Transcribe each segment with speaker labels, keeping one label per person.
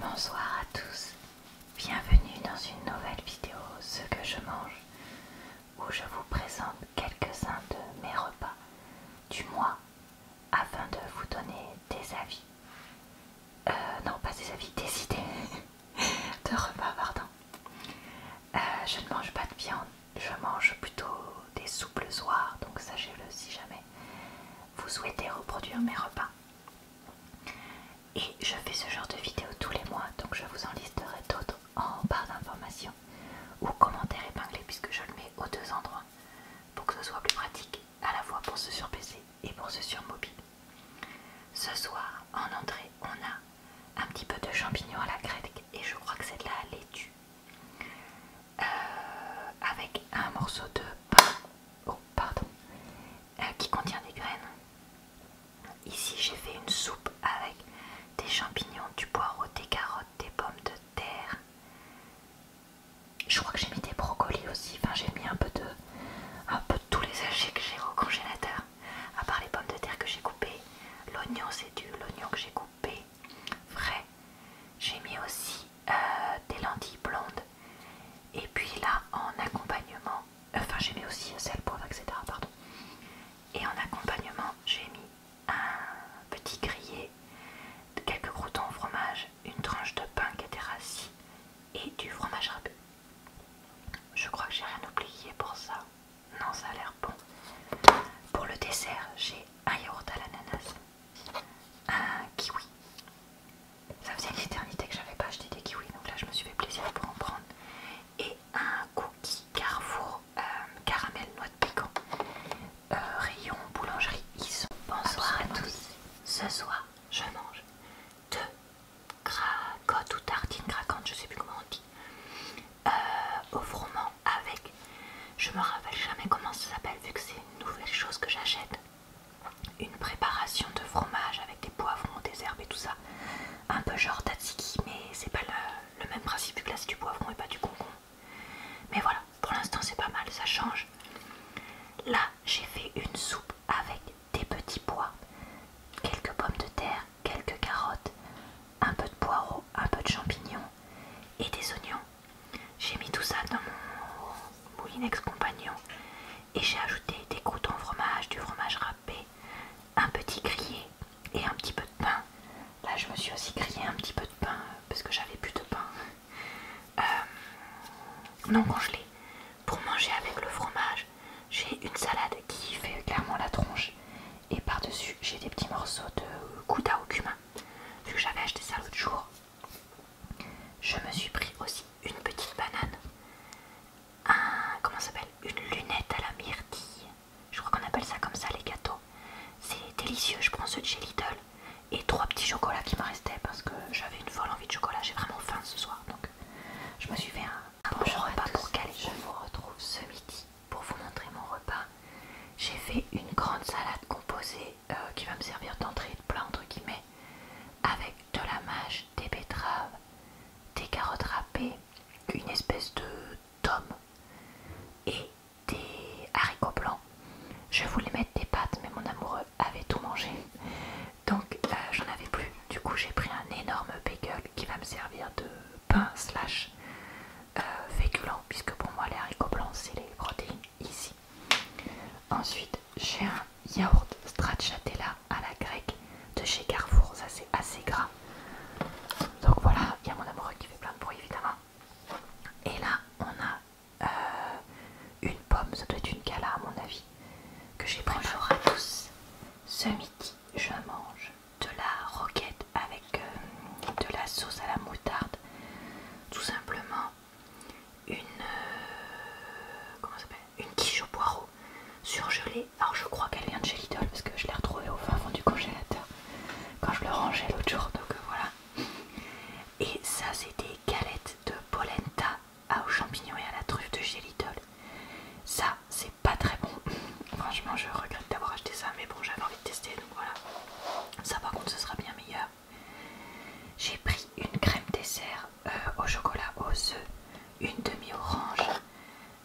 Speaker 1: Bonsoir à tous, bienvenue dans une nouvelle vidéo Ce que je mange où je vous présente quelques-uns de mes repas du mois afin de vous donner des avis. Euh, non, pas des avis, des idées de repas, pardon. Euh, je ne mange pas de viande, je mange plutôt des soupes le donc sachez-le si jamais vous souhaitez reproduire mes repas. Et je fais ce genre de vidéo tous les mois, donc je vous en listerai d'autres en barre d'informations ou commentaires épinglés puisque je le mets aux deux endroits pour que ce soit plus pratique à la fois pour ceux sur PC et pour ceux sur mobile. Ce soir, en entrée, on a un petit peu de champignons à la grecque et je crois que c'est de la laitue. Euh, avec un morceau de pain oh, pardon, euh, qui contient des graines. Ici j'ai fait une soupe avec des champignons, du poireau, des carottes, des pommes de terre. Je crois que j'ai mis des brocolis aussi, enfin j'ai mis un peu de un peu tous les légumes que j'ai au congélateur, à part les pommes de terre que j'ai coupées, l'oignon c'est du l'oignon que j'ai coupé frais. J'ai mis aussi euh, des lentilles blondes. Et puis là, en accompagnement, enfin j'ai mis aussi un sel, poivre, etc. Pardon. Et en accompagnement, j'ai mis un petit grillé, quelques croutons au fromage, une tranche de pain qui était rassis et du fromage râpé. Je crois que j'ai rien oublié pour ça. Non, ça a l'air bon. Pour le dessert, j'ai un yaourt à l'ananas un ah, kiwi. Ça faisait une éternité que j'avais pas acheté des kiwis, donc là je me suis fait plaisir pour en prendre. Et un cookie Carrefour euh, caramel noix de piquant euh, rayon boulangerie, ils Bonsoir à tous. Ce soir, je mange deux cracottes ou tartines craquantes, je sais plus comment on dit, euh, au froment avec. Je me rappelle jamais comment ça s'appelle vu que c'est une nouvelle chose que j'achète une préparation de fromage avec des poivrons, des herbes et tout ça. Un peu genre tzatziki, mais c'est pas le, même principe que là c'est du poivron et pas du concombre. Mais voilà, pour l'instant c'est pas mal, ça change. Là, j'ai fait une soupe avec des petits pois, quelques pommes de terre, quelques carottes, un peu de poireaux, un peu de champignons et des oignons. J'ai mis tout ça dans mon moulinex compagnon et j'ai ajouté des croûtons fromage, du fromage râpé, un petit grillé et un petit peu de pain. Là, je me suis aussi crié un petit peu de pain parce que j'avais plus de pain. Euh, non congelé. Pour manger avec le fromage, j'ai une salade qui fait clairement la tronche et par-dessus, j'ai des petits morceaux de gouda au cumin. Vu que j'avais acheté ça l'autre jour, je me suis pris aussi une petite banane, comment s'appelle, une lunette à la myrtille. Je crois qu'on appelle ça comme ça les gâteaux. C'est délicieux, je prends ceux de chez Lidl et trois petits chocolats qui m'en restaient parce que j'avais une folle envie de chocolat, j'ai vraiment faim ce soir donc je me suis fait un, ah, bon repas pour Je vous retrouve ce midi pour vous montrer mon repas. J'ai fait une grande salade composée euh, qui va me servir d'entrée de plat entre guillemets avec de la mâche, des betteraves, des carottes râpées, une espèce de tome et des haricots blancs. Je voulais mettre des pâtes mais mon amoureux avait tout mangé donc euh, j'en avais plus. Du coup j'ai pris un énorme bagel qui va me servir de pain slash euh, féculent puisque pour moi les haricots blancs c'est les protéines ici. Ensuite, j'ai un yaourt stracciatella à la grecque de chez Carrefour. Ça, c'est assez gras. Donc voilà, il y a mon amoureux qui fait plein de bruit, évidemment. Et là, on a euh, une pomme. Ça doit être une gala à mon avis, que j'ai Bonjour à tous. Ce midi, je mange de la roquette avec euh, de la sauce à la moutarde tout simplement euh, une, quiche au poireau surgelée. Alors je crois qu'elle vient de chez parce que je l'ai retrouvée au fin fond du congélateur quand je le rangeais l'autre jour. Donc euh, voilà. Et ça c'est des galettes de polenta aux champignons et à la truffe de chez Ça c'est pas très bon. Franchement je regrette d'avoir acheté ça mais bon j'avais envie de tester donc voilà. Ça par contre ce sera bien meilleur. J'ai pris une crème dessert euh, au chocolat aux œufs, une demi-orange,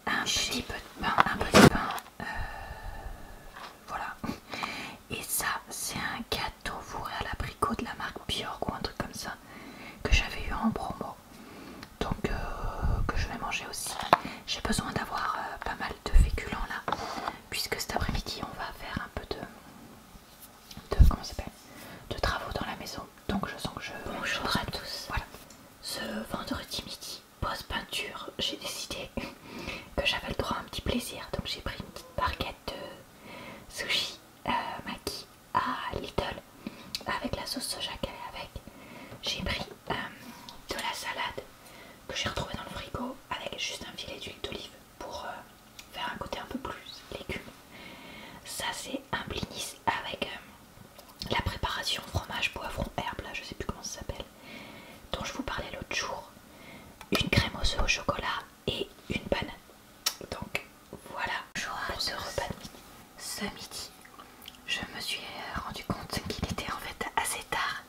Speaker 1: un petit peu de pain, un petit pain, euh, voilà. Et ça c'est un gâteau fourré à l'abricot de la marque Björk ou un truc comme ça que j'avais eu en promo. Donc euh, que je vais manger aussi. J'ai besoin d'avoir pas mal de féculents là, puisque cet après-midi on va faire un peu de, de comment s'appelle, de travaux dans la maison. Donc je sens que je. Bonjour à tous. Ce vendredi midi, pause peinture, j'ai décidé que j'avais le droit à un petit plaisir. Donc j'ai pris une petite barquette de sushi maquis euh, maki à little avec la sauce soja qu'elle avec. J'ai pris euh, de la salade que j'ai retrouvé dans le frigo avec juste un filet d'huile d'olive pour euh, faire un côté un peu plus légume. Ça c'est un blinis avec euh, la préparation fromage poivron herbe, je sais plus comment ça s'appelle, dont je vous parlais l'autre jour, une crème au chocolat et une banane. Donc voilà pour ce repas de Ce midi, je me suis euh, rendu compte qu'il était en fait assez tard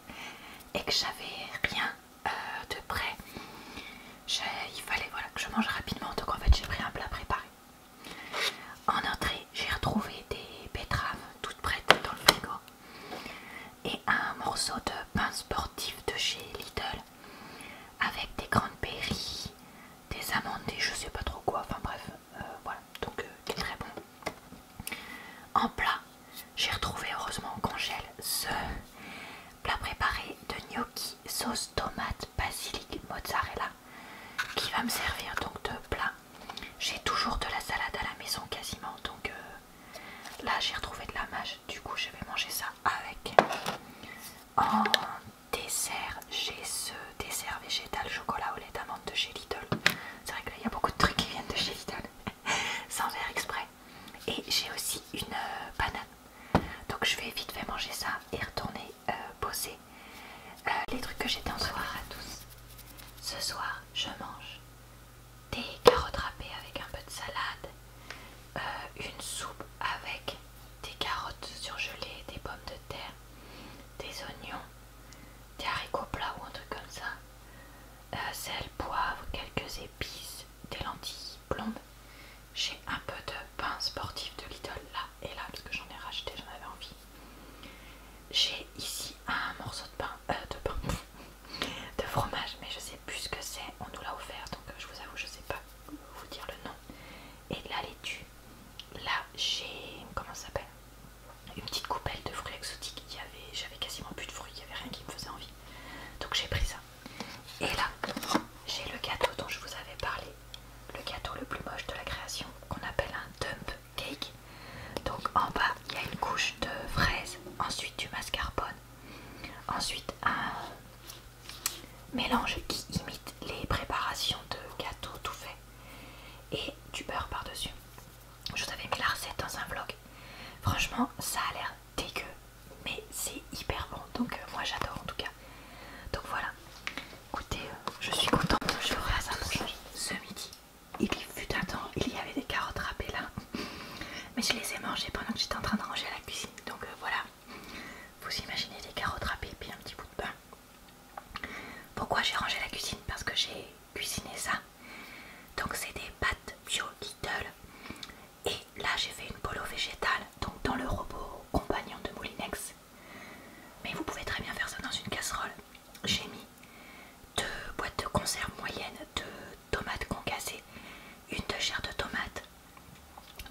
Speaker 1: et que j'avais rien euh, de prêt, il fallait voilà, que je mange rapidement. Donc en fait, j'ai pris un plat préparé. En entrée, j'ai retrouvé des betteraves toutes prêtes dans le frigo et un morceau de pain sportif de chez Lidl avec des grandes péries des amandes, et je sais pas trop quoi, enfin bref, euh, voilà, donc euh, est très bon. En plat, j'ai retrouvé heureusement en congèle ce plat préparé de gnocchi sauce tomate basilic mozzarella qui va me servir donc de plat. J'ai toujours de la salade à la maison quasiment donc euh, là j'ai retrouvé de la mâche du coup je vais manger ça avec. En dessert, j'ai ce dessert végétal chocolat au lait d'amande de chez Lidl. C'est vrai qu'il y a beaucoup de trucs qui viennent de chez Lidl. sans verre exprès. Et j'ai aussi une euh, banane. Donc je vais vite fait manger ça et retourner euh, poser. bosser. Euh, les trucs que j'ai en ce soir à tous. Ce soir, je mange des carottes râpées avec un peu de salade, une soupe avec des carottes surgelées, des pommes de terre, des oignons, des haricots plats ou un truc comme ça, euh, sel, poivre, quelques épices, des lentilles plombes J'ai un peu de pain sportif de Lidl là et là parce que j'en ai racheté, j'en avais envie. J'ai ici un morceau de pain, euh, de pain, de fromage, mais je sais plus ce que c'est. On nous l'a offert, donc euh, je vous avoue, je sais pas vous dire le nom. Et de la laitue. Là, j'ai comment ça s'appelle une petite coupelle de fruits exotiques. J'avais quasiment plus de fruits, il n'y avait rien qui me faisait envie. Donc j'ai pris ça. Et là, j'ai le gâteau dont je vous avais parlé. Le gâteau le plus moche de la création, qu'on appelle un dump cake. Donc en bas, il y a une couche de fraises, ensuite du mascarpone, ensuite un mélange qui imite les préparations de gâteaux tout fait et du beurre par-dessus. Je vous avais mis la recette dans un vlog. Franchement, ça a l'air dégueu, mais c'est hyper bon. Donc euh, moi j'adore en tout cas. Donc voilà. Écoutez, euh, je suis contente. Je ferai à ça ce midi. Il y fut un temps, il y avait des carottes râpées là. Mais je les ai mangées pendant que j'étais en train de ranger à la cuisine. Donc euh, voilà. Vous imaginez des carottes râpées et un petit bout de pain. Pourquoi j'ai rangé la cuisine Parce que j'ai cuisiné ça. Donc c'est des pâtes bio Et là j'ai fait une polo végétale, donc dans le robot compagnon de Moulinex. Mais vous pouvez très bien faire ça dans une casserole. J'ai mis deux boîtes de conserve moyenne de tomates concassées, une de chair de tomate,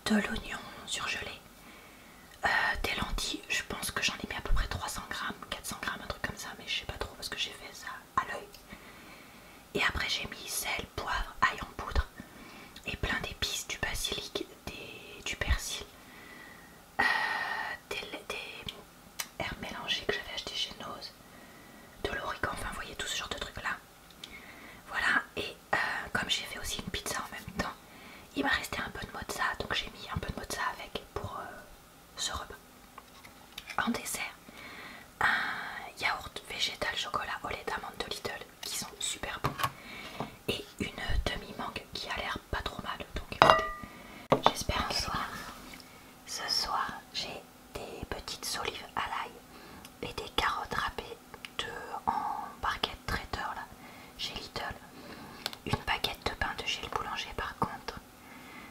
Speaker 1: de l'oignon surgelé, euh, des lentilles je pense que j'en ai mis à peu près 300 grammes, 400 grammes, un truc comme ça, mais je sais pas trop parce que j'ai fait ça à l'œil. Et après, j'ai mis sel, poivre, ail en poudre et plein d'épices, du basilic, du persil, euh, des, herbes mélangées que j'avais achetées chez Nose, de l'origan, enfin, vous voyez tout ce genre de trucs là. Voilà, et euh, comme j'ai fait aussi une pizza en même temps, il m'a resté un peu de mozza, donc j'ai mis un peu de mozza avec pour, euh, ce repas. En dessert, un yaourt végétal chocolat au lait d'amande de Lidl qui sont super bons et une demi-mangue qui a l'air pas trop mal. Donc écoutez, j'espère un soir. Ce soir, j'ai des petites olives à l'ail et des carottes râpées de, en barquette traiteur là j'ai Little, Une baguette de pain de chez le boulanger par contre.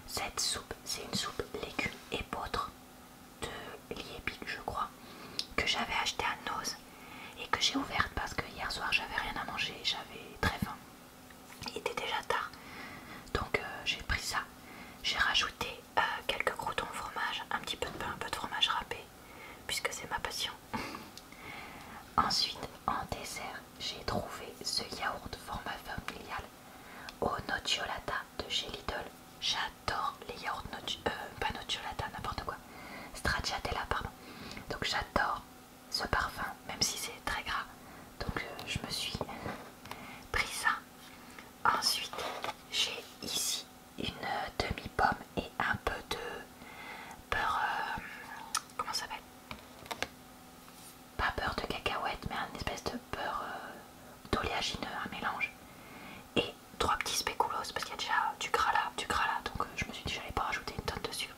Speaker 1: Cette soupe, c'est une soupe légumes et de Liebig je crois, que j'avais acheté à Noz et que j'ai ouverte parce que hier soir j'avais rien à manger, j'avais très faim. Il était déjà tard. Donc euh, j'ai pris ça. J'ai rajouté euh, quelques croutons au fromage, un petit peu de pain, un peu de fromage râpé, puisque c'est ma passion. Ensuite, en dessert, j'ai trouvé ce yaourt format familial au nocciolata de chez Lidl. J'adore les yaourts euh, pas nocciolata, n'importe quoi. Stracciatella, pardon. Donc j'adore ce parfum, même si c'est très gras. Donc euh, je me suis pris ça. Ensuite, j'ai ici une euh, demi-pomme et un peu de beurre. comment ça s'appelle pas beurre de cacahuète, mais un espèce de beurre euh, d'oléagineux, un mélange. Et trois petits spéculoos, parce qu'il y a déjà du gras là, du gras là, donc euh, je me suis dit j'allais pas rajouter une tonne dessus.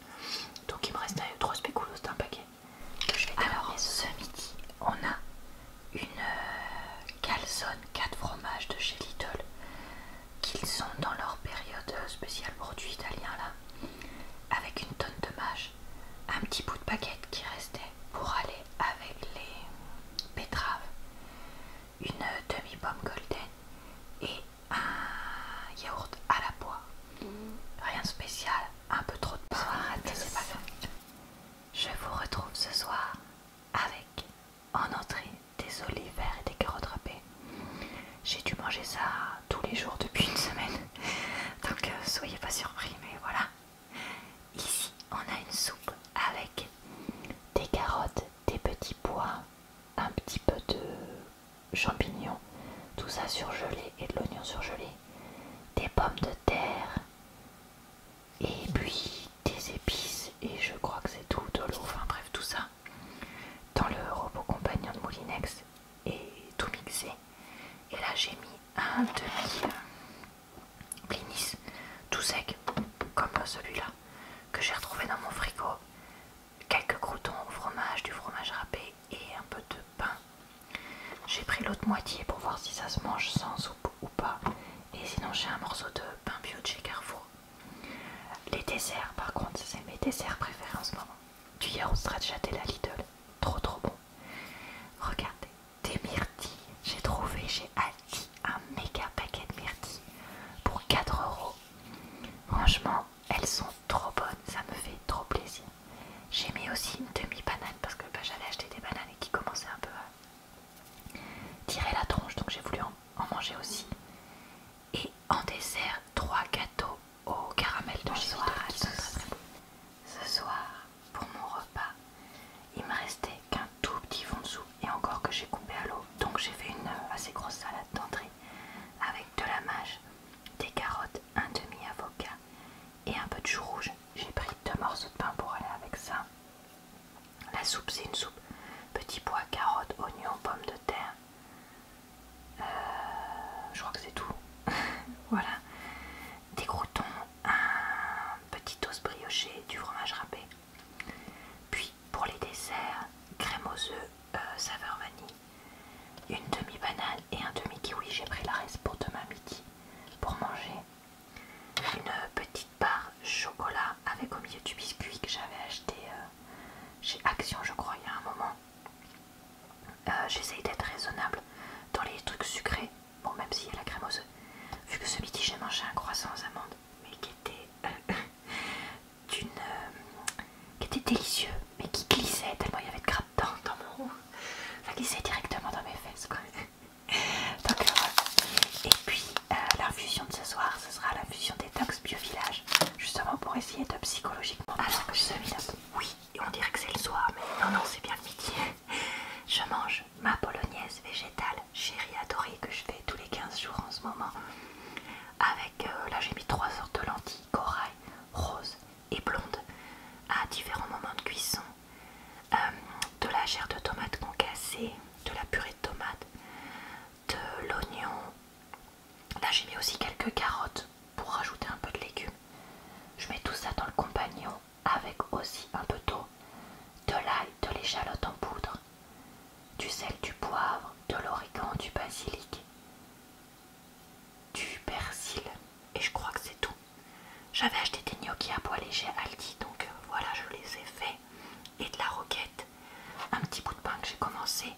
Speaker 1: Donc il me restait euh, trois spéculos d'un paquet. Que je vais Alors ce midi, on a une calzone 4 fromages de chez Lidl qu'ils sont dans leur période spéciale du italien là, avec une tonne de mâche, un petit bout de baguette qui restait pour aller avec les betteraves, une demi-pomme golden et un yaourt à la poire. Mm. Rien de spécial, un peu trop de poire, Je vous retrouve ce soir avec en entrée des olives et des carottes râpées, j'ai dû manger ça tous les jours depuis une semaine. Donc euh, soyez pas surpris, mais voilà. Ici, on a une soupe avec des carottes, des petits pois, un petit peu de champignons, tout ça surgelé et de l'oignon surgelé, des pommes de terre, et puis des épices, et je crois que c'est tout, de l'eau, enfin bref, tout ça dans le robot compagnon de Moulinex et tout mixé. Et là j'ai mis un demi blinis tout sec comme celui-là que j'ai retrouvé dans mon frigo. Quelques croutons au fromage, du fromage râpé et un peu de pain. J'ai pris l'autre moitié pour voir si ça se mange sans soupe ou pas. Et sinon j'ai un morceau de pain bio de chez Carrefour les desserts, par contre, c'est mes desserts préférés en ce moment. Du yaourt de la Lidl, trop trop bon. Regardez, des myrtilles. J'ai trouvé j'ai acheté un méga paquet de myrtilles pour 4 euros. Franchement, elles sont trop bonnes, ça me fait trop plaisir. J'ai mis aussi une demi-banane parce que bah, j'allais acheter des bananes et qui commençaient un peu à tirer la tronche, donc j'ai voulu en manger aussi. Et en dessert, trois gâteaux au caramel de soir. Ce soir, pour mon repas, il me restait qu'un tout petit fond de soupe et encore que j'ai coupé à l'eau. Donc j'ai fait une euh, assez grosse salade d'entrée avec de la mâche, des carottes, un demi-avocat et un peu de chou rouge. J'ai pris deux morceaux de pain pour aller avec ça. La soupe, c'est une soupe petit pois, carottes, oignons, pommes de terre, euh, je crois que c'est tout. voilà. Des croutons, un petit os brioché, du fromage râpé. Puis pour les desserts, crème aux œufs, euh, saveur vanille, une demi-banane et un demi-kiwi. J'ai pris la reste pour demain midi pour manger. Une petite barre chocolat avec au milieu du biscuit que j'avais acheté euh, j'ai Action, je crois, il y a un moment. Euh, j'essaye d'être raisonnable dans les trucs sucrés, bon, même si y a la crème œufs Vu que ce midi, j'ai mangé un croissant aux amandes, mais qui était euh, euh, qui était délicieux, mais qui glissait tellement il y avait de grappe dans, dans mon rouge. Ça glissait directement dans mes fesses, quoi. Donc, Et puis, la fusion de ce soir, ce sera la l'infusion Tox bio village, justement pour essayer de psychologiquement. Alors, ah, oui, on dirait que c'est le soir, mais non, non, c'est bien le midi. Je mange ma polonaise végétale, chérie adorée, que je fais tous les 15 jours en ce moment. Avec, euh, là j'ai mis trois sortes de lentilles, corail, rose et blonde, à différents moments de cuisson. Euh, de la chair de tomate concassée, de la purée de tomate, de l'oignon. Là j'ai mis aussi quelques carottes pour rajouter un peu de légumes. Je mets tout ça dans le compagnon avec aussi un peu d'eau, de l'ail, de l'échalote en poudre, du sel, du poivre, de l'origan, du basilic, du persil et je crois que c'est tout. J'avais acheté des gnocchis à poids léger Aldi donc euh, voilà je les ai faits et de la roquette un petit bout de pain que j'ai commencé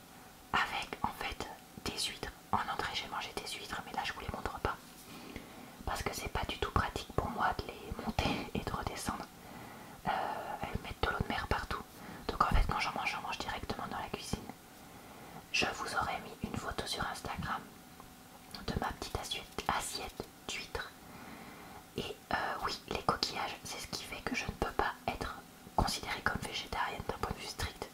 Speaker 1: avec en fait des huîtres. En entrée j'ai mangé des huîtres mais là je vous les montre pas parce que c'est pas du tout pratique pour moi de les monter et de redescendre. Euh, elles mettent de l'eau de mer partout. Donc en fait quand j'en mange, j'en mange directement dans la cuisine. Je vous aurais mis une photo sur Instagram de ma petite assiette d'huîtres. Et euh, oui, les coquillages, c'est ce qui fait que je ne peux pas être considérée comme végétarienne d'un point de vue strict,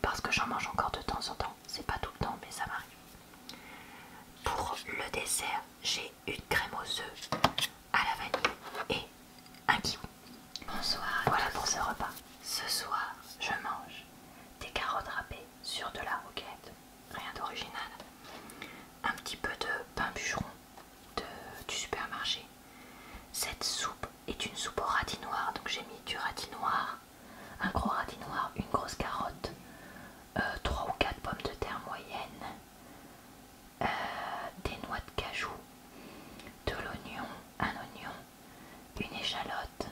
Speaker 1: parce que j'en mange encore de temps en temps, c'est pas tout le temps, mais ça m'arrive. Pour le dessert, j'ai une crème aux œufs à la vanille et un kiwi. Bonsoir. Voilà pour ce repas. Ce soir, je mange des carottes râpées sur de la roquette, rien d'original, un petit peu de pain bûcheron du supermarché. Cette soupe est une soupe au radis noir, donc j'ai mis du radis noir, un gros radis noir, une grosse carotte, 3 euh, ou 4 pommes de terre moyennes, euh, des noix de cajou, de l'oignon, un oignon, une échalote.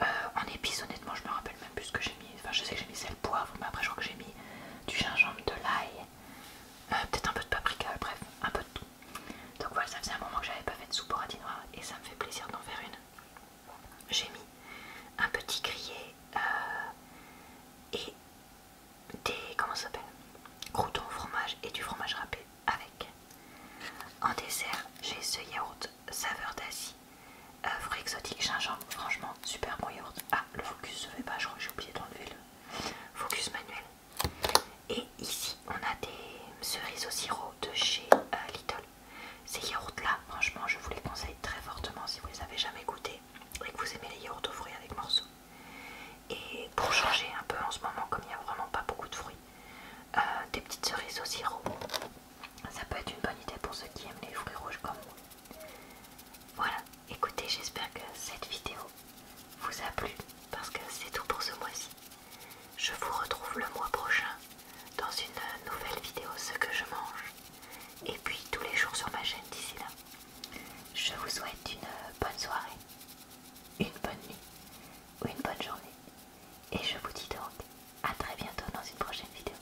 Speaker 1: Euh, en épices, honnêtement, je me rappelle même plus ce que j'ai mis. Enfin, je sais que j'ai mis sel poivre, mais après, je crois que j'ai mis du gingembre, de l'ail, euh, peut-être un peu de paprika, bref, un peu de tout. Donc voilà, ça faisait un moment que j'avais pas fait de soupe au et ça me fait plaisir d'en faire une. J'ai mis un petit grillé euh, et des comment ça s'appelle croutons au fromage et du fromage râpé avec. En dessert, j'ai ce yaourt saveur d'acier Fruits exotiques, gingembre, franchement, super bon yaourt. Ah, le focus se fait pas, je crois que j'ai oublié d'enlever le focus manuel. Et ici, on a des cerises au sirop de chez euh, Little. Ces yaourts-là, franchement, je vous les conseille très fortement si vous les avez jamais goûté et que vous aimez les yaourts aux fruits avec morceaux. Et pour changer un peu en ce moment, comme il n'y a vraiment pas beaucoup de fruits, euh, des petites cerises au sirop, ça peut être une bonne idée pour ceux qui aiment les fruits rouges comme moi. Voilà, écoutez, j'espère que cette vidéo vous a plu parce que c'est tout pour ce mois-ci. Je vous retrouve le mois prochain dans une nouvelle vidéo ce que je mange et puis tous les jours sur ma chaîne d'ici là. Je vous souhaite une bonne soirée, une bonne nuit ou une bonne journée et je vous dis donc à très bientôt dans une prochaine vidéo.